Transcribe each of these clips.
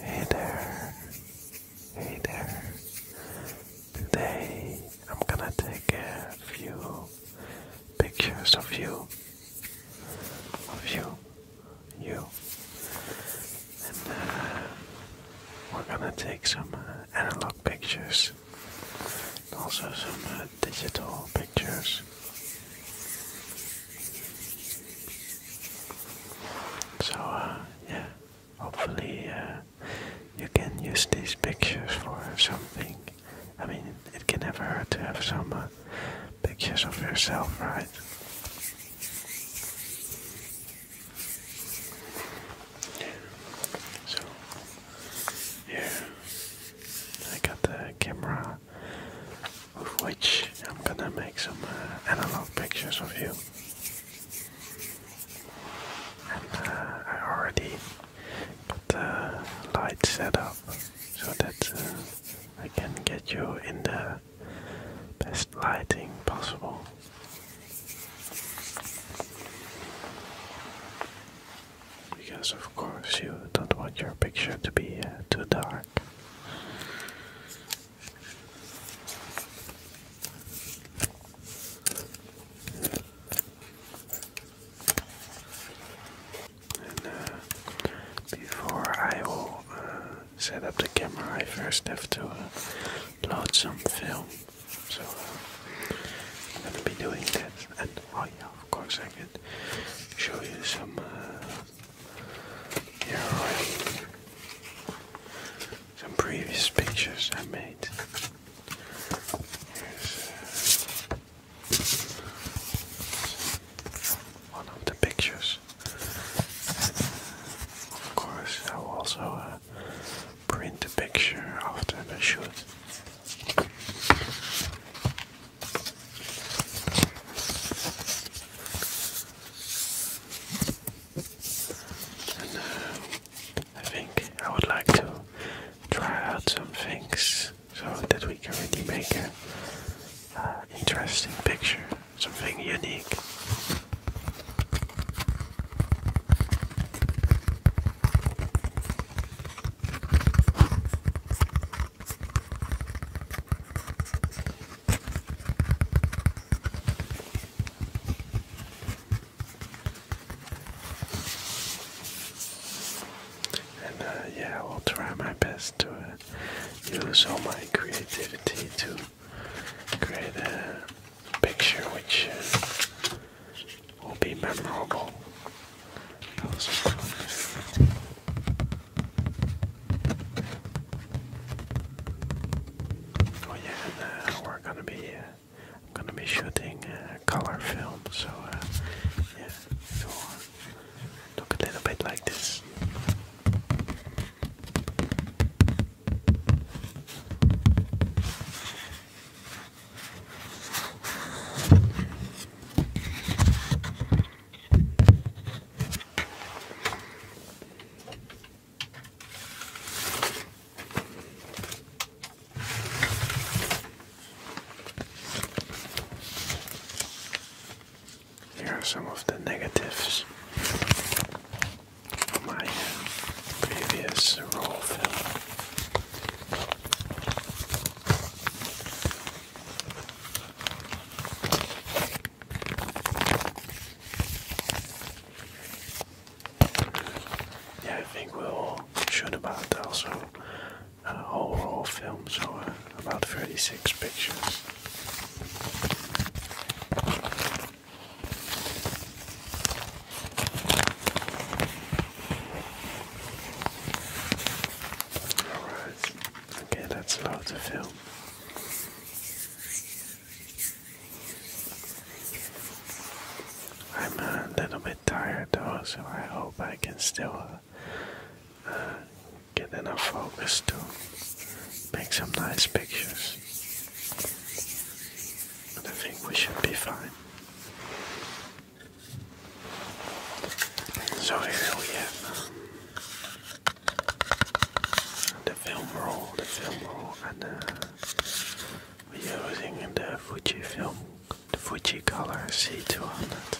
Hey there, hey there. Today I'm gonna take a few pictures of you, of you, you, and uh, we're gonna take some uh, analog pictures, also some uh, digital pictures. So, uh, yeah, hopefully uh, you can use these pictures for something. I mean, it can never hurt to have some uh, pictures of yourself, right? So, here, I got the camera of which I'm gonna make some uh, analog pictures of you. And uh, I already got the light set up so that uh, I can get you in the best lighting possible. Because of course you don't want your picture to be too dark. Uh, before I will uh, set up the camera, I first have to uh, load some film. So I'm gonna be doing that, and oh of course I can show you some you're Some previous pictures I made. Here's uh, one of the pictures. Of course, I will also uh, print a picture after the shoot. Uh, I think I would like to try out some things so that we can really make an uh, interesting picture, something unique. And uh, yeah, I will try my best to uh, use all my creativity to create a picture which uh, will be memorable. Oh yeah, uh, we're gonna be uh, gonna be shooting uh, color film, so yeah, look a little bit like this. Here are some of the negatives from my previous roll yeah, I think we're all should about also uh, a whole roll film, so about 36 pictures. All right. Okay, that's about to film. I'm a little bit tired though, so I hope I can still uh, get enough focus to make some nice pictures. But I think we should be fine. So here we have the film roll, the film roll, and uh, we're using the Fuji film, the Fuji Color C200.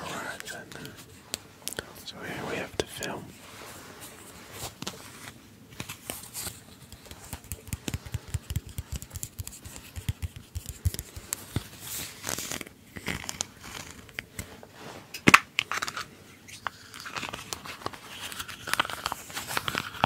Alright then. So here we have the film.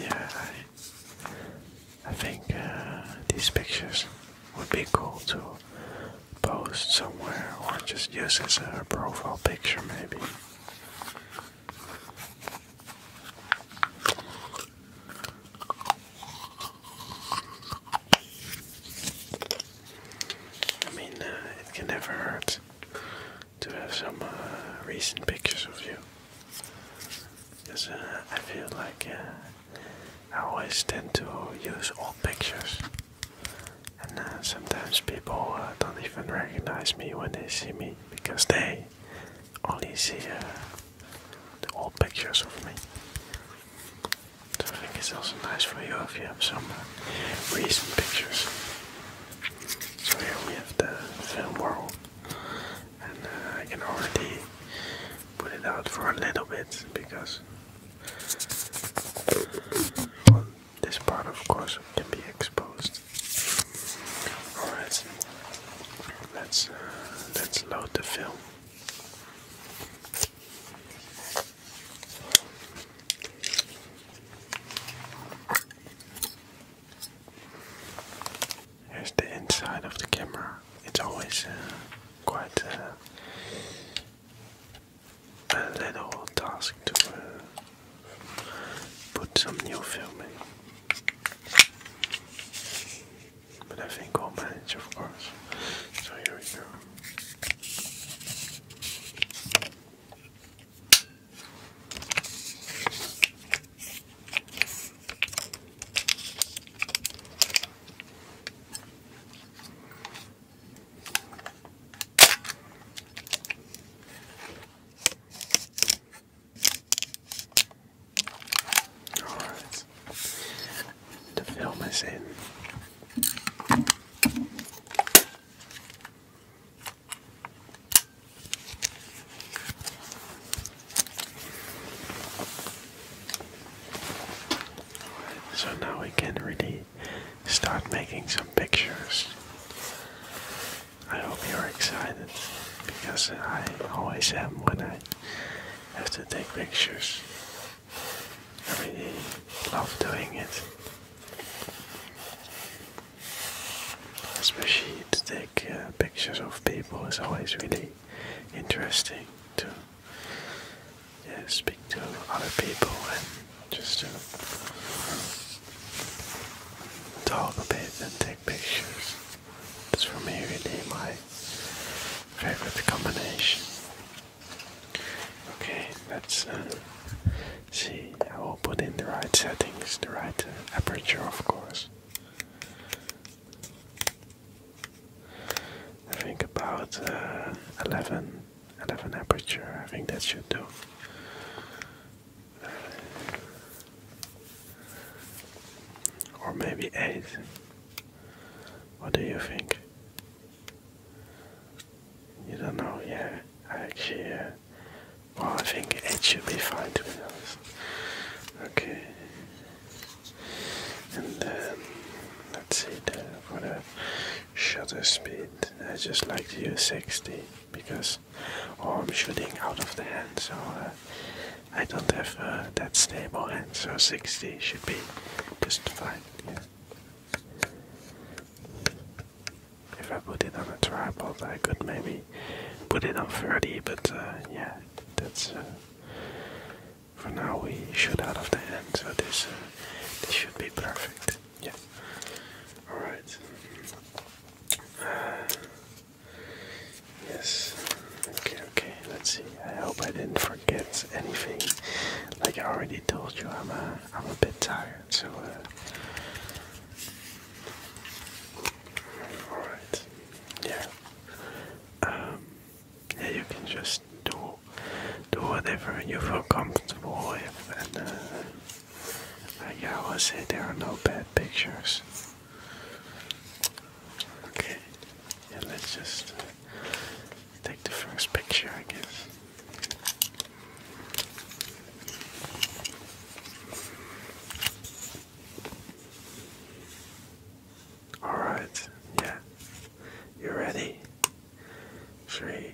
Yeah, I, think uh, these pictures would be cool to post somewhere or just use as a profile picture, maybe. I mean, uh, it can never hurt to have some uh, recent pictures of you. Because uh, I feel like uh, I always tend to use old pictures, and sometimes people don't even recognize me when they see me because they only see the old pictures of me. So I think it's also nice for you if you have some recent pictures. So here we have the film world, and uh, I can already put it out for a little bit because this part, of course, can be exposed. All right, let's uh, let's load the film. Here's the inside of the camera. It's always uh, quite uh, a little task to uh, put some new film in. But I think I'll manage, of course. So here we go. All right. The film is in so now we can really start making some pictures. I hope you're excited because I always am when I have to take pictures. I really love doing it. Especially to take pictures of people is always really interesting to speak to other people and just to talk a bit and take pictures. It's for me really my favorite combination. Okay, that's See, I will put in the right settings, the right uh, aperture, of course. I think about uh, 11, 11 aperture, I think that should do. or maybe 8. What do you think? You don't know, yeah. I actually uh, well, I think it should be fine to Okay. And then let's see the, for the shutter speed. I just like to use 60 because oh, I'm shooting out of the hand, so uh, I don't have uh, that stable hand, so 60 should be just fine. If I put it on a tripod, I could maybe put it on 30, but uh, yeah, that's uh, for now we shoot out of the end, so this uh, this should be perfect. Yeah. All right. yes. Okay. Okay. Let's see. I hope I didn't forget anything. Like I already told you, I'm a I'm a bit tired. So, uh, alright, yeah. Um, yeah, you can just do do whatever you feel comfortable with, and like uh, uh, I always say, there are no bad pictures. Okay, yeah, let's just take the first picture, I guess. All right, yeah. You ready? Three,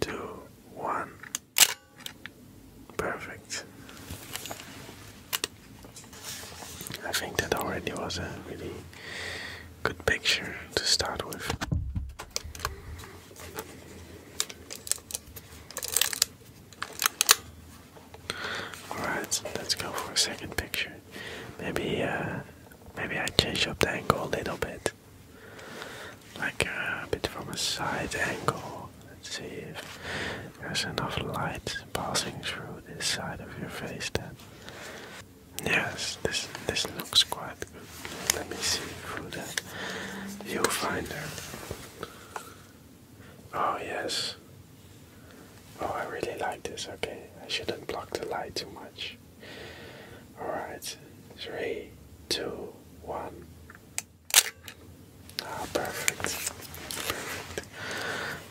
two, one. Perfect. I think that already was a really good picture to start with. Alright, let's go for a second picture. Maybe uh maybe I change up the angle a little bit. Like uh, a bit from a side angle. Let's see if there's enough light passing through this side of your face then. Yes, this this looks quite good. Let me see from the viewfinder. Oh, yes. Oh, I really like this. Okay, I shouldn't block the light too much. Alright, three, two, one. Ah, perfect.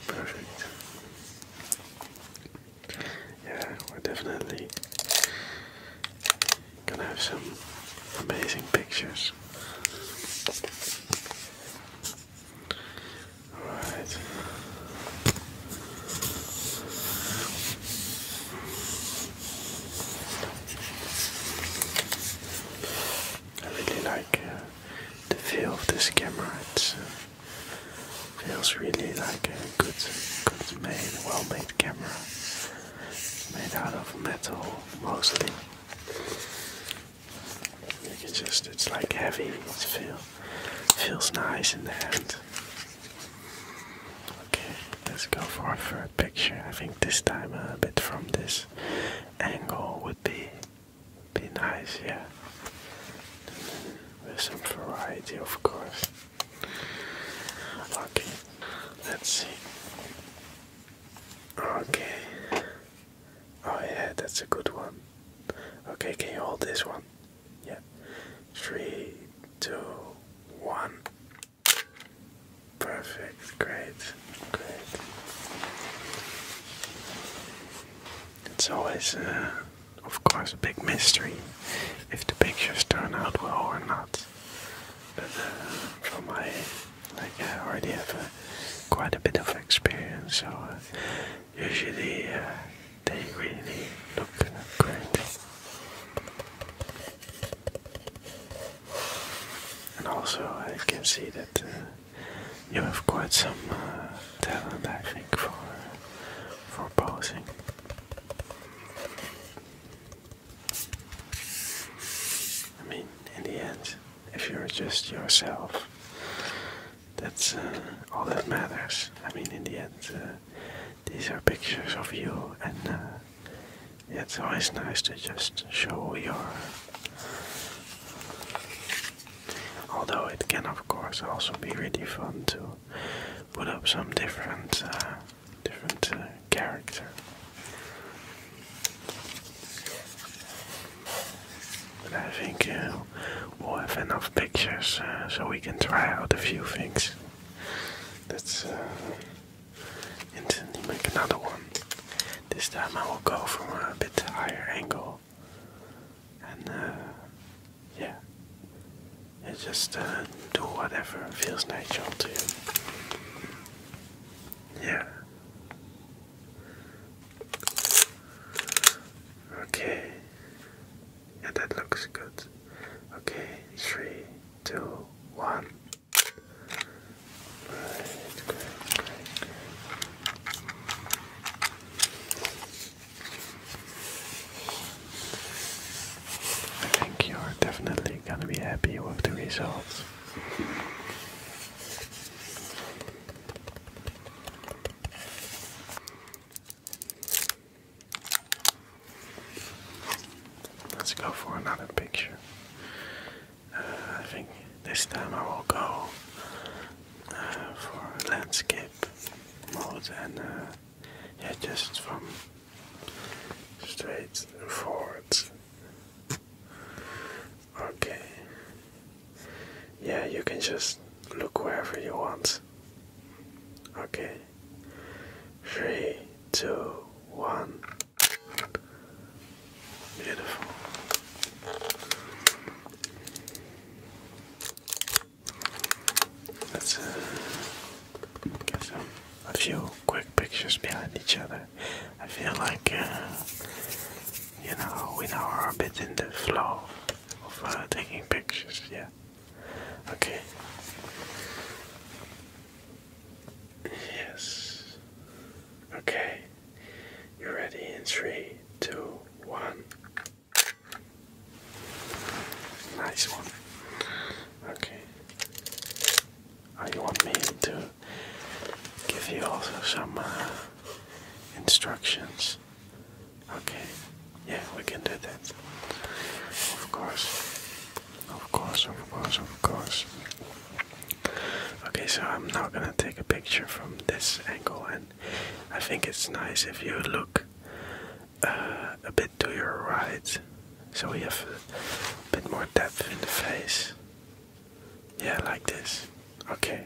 Perfect. Perfect. Yeah, we're definitely Gonna have some amazing pictures. Alright. I really like uh, the feel of this camera. It uh, feels really like uh, good, good made, well made camera. Made out of metal mostly. You just, it's like heavy, it feel, feels nice in the hand. Okay, let's go for a third picture. I think this time a bit from this angle would be be nice, yeah. With some variety, of course. Okay, let's see. Okay. Oh, yeah, that's a good one. Okay, can you hold this one? Yeah. Three, two, one. Perfect, great, great. It's always. Uh, of course a big mystery if the pictures turn out well or not. But uh, from my like I already have uh, quite a bit of experience, so uh, usually uh, they really look great. And also I can see that you have quite some talent, I think, for for posing. I mean, in the end, if you're just yourself, that's uh, all that matters. I mean, in the end, uh, these are pictures of you, and uh, it's always nice to just show your. Although it can, of course, also be really fun to put up some different, uh, different uh, character. But I think uh, we'll have enough pictures so we can try out a few things. Let's uh, instantly make another one. This time I will go from a bit higher angle yeah, just uh, do whatever feels natural to you. Yeah. Okay. Yeah, that looks good. Okay, three, two, one. Right, I think you're definitely gonna be happy with the results. Let's go for another picture. Uh, I think this time I will go uh, for landscape mode and uh, yeah, just from straight forward. Okay. Yeah, you can just look wherever you want. Okay. Three, two, one. Beautiful. Let's uh, get some, a few quick pictures behind each other. I feel like, uh, you know, we now are a bit in the flow of uh, taking pictures, yeah. Okay. Yes. Okay. You ready in three, two, one. Nice one. Okay. Are ah, you want to give you also some uh, instructions? Okay. Yeah, we can do that. Of course. Of course, of course, of course. Okay, so I'm now gonna take a picture from this angle, and I think it's nice if you look uh, a bit to your right, so we have a bit more depth in the face. Yeah, like this. Okay,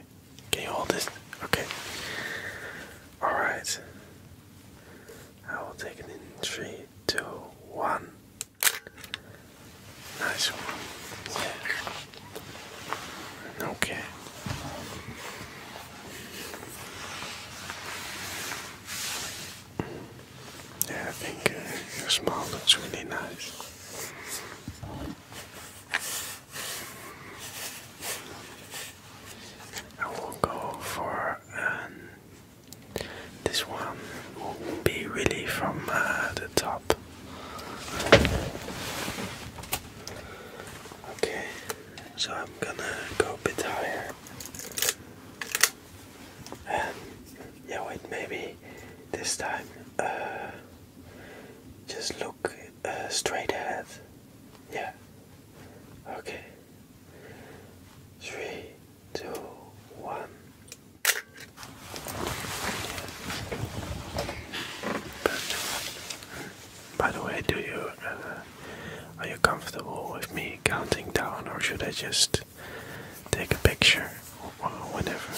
can you hold this? Okay, all right. I will take it in three, two, one. Nice one. Okay. Yeah, I think uh, your smile looks really nice. I will go for um, this one. Will be really from uh, the top. Okay, so I'm gonna go a bit higher. And yeah, wait, maybe this time uh, just look uh, straight ahead. Yeah. Okay. Three, two, one. By the way, do you uh, are you comfortable with me counting down, or should I just take a picture or whatever?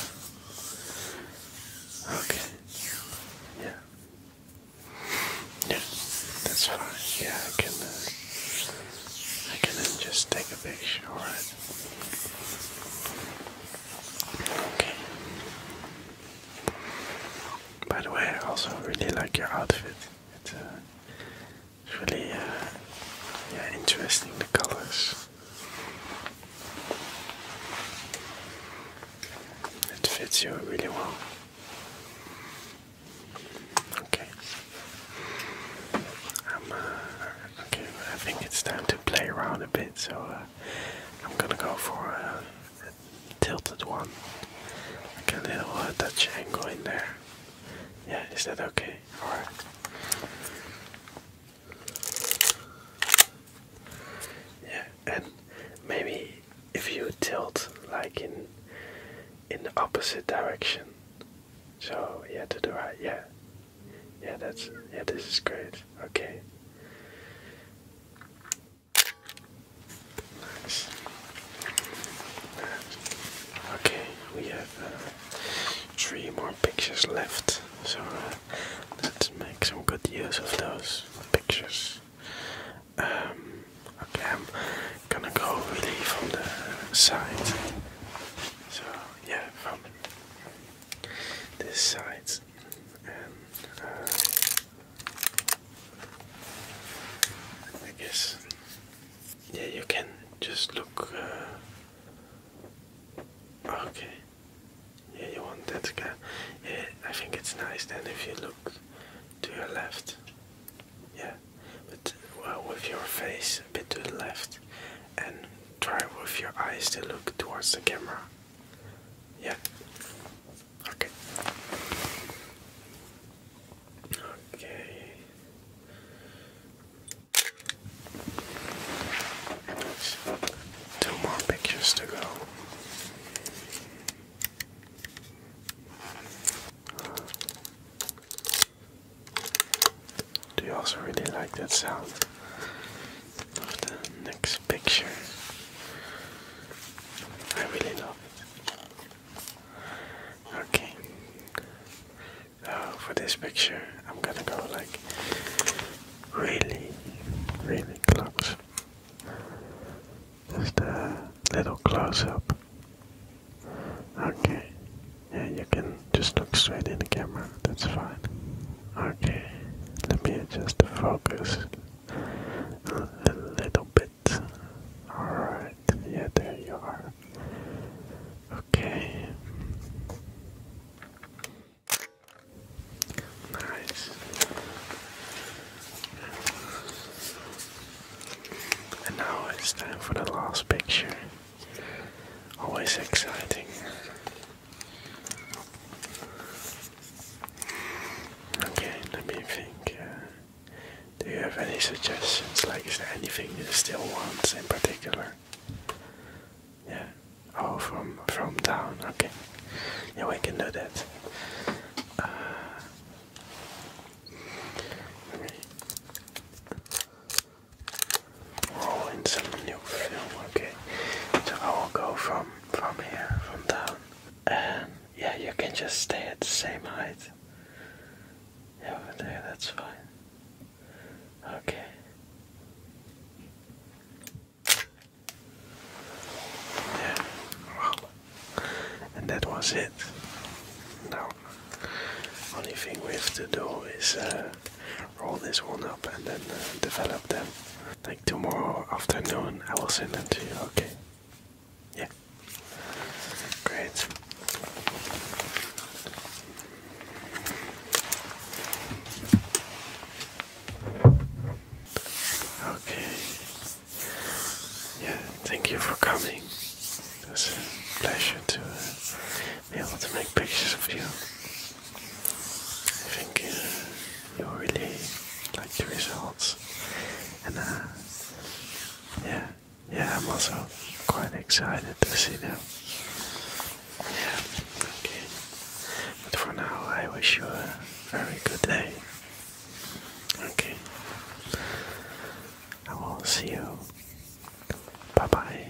Okay. Yeah. Yeah, that's fine. Yeah, I can. Uh, I can just take a picture. All right. Okay. By the way, I also really like your outfit. It's, uh, really uh, yeah, interesting, the colors. It fits you really well. Okay. Um, uh, okay, I think it's time to play around a bit, so uh, I'm gonna go for a, tilted one. I can hit a Dutch angle in there. Yeah, is that okay? Alright. Yeah, and maybe if you tilt like in in the opposite direction. So yeah, to the right. Yeah, yeah, that's yeah. This is great. Okay. Okay, we have uh, three more pictures left, so uh, let's make some good use of those pictures. Um, okay, I'm gonna go really from the side. So, yeah, from this side. Um, uh, I guess yeah you can just look uh, okay yeah you want that guy yeah I think it's nice then if you look to your left yeah but well, with your face a bit to the left and try with your eyes to look towards the camera yeah Okay. Okay. Two more pictures to go. Do you also really like that sound? of the next picture. I really love Okay. Uh, for this picture, I'm gonna go like really, really close. Just a little close up. Okay. Yeah, you can just look straight in the camera. That's fine. Okay. Let me adjust the focus a little bit. Alright, yeah, there you are. Okay. Nice. And now it's time for the last picture. Always exciting. Okay, let me think. Uh, do you have any suggestions? Like, is there anything you still want in particular? Yeah. Oh, from from down. Okay. Yeah, we can do that. Uh, roll in some new film. Okay. So I will go from from here, from down. And yeah, you can just stay at the same height. over there, that's fine. Okay. Yeah. and that was it. Now, only thing we have to do is uh, roll this one up and then uh, develop them. Like tomorrow afternoon, I will send them to you, okay? Yeah. Great. Okay. Yeah, thank you for coming. It was a pleasure to be able to make pictures of you. I think uh, you really like the results. And uh, yeah, yeah, I'm also quite excited to see them. okay. But for now, I wish you a very good day. Okay. I will see you. Bye bye.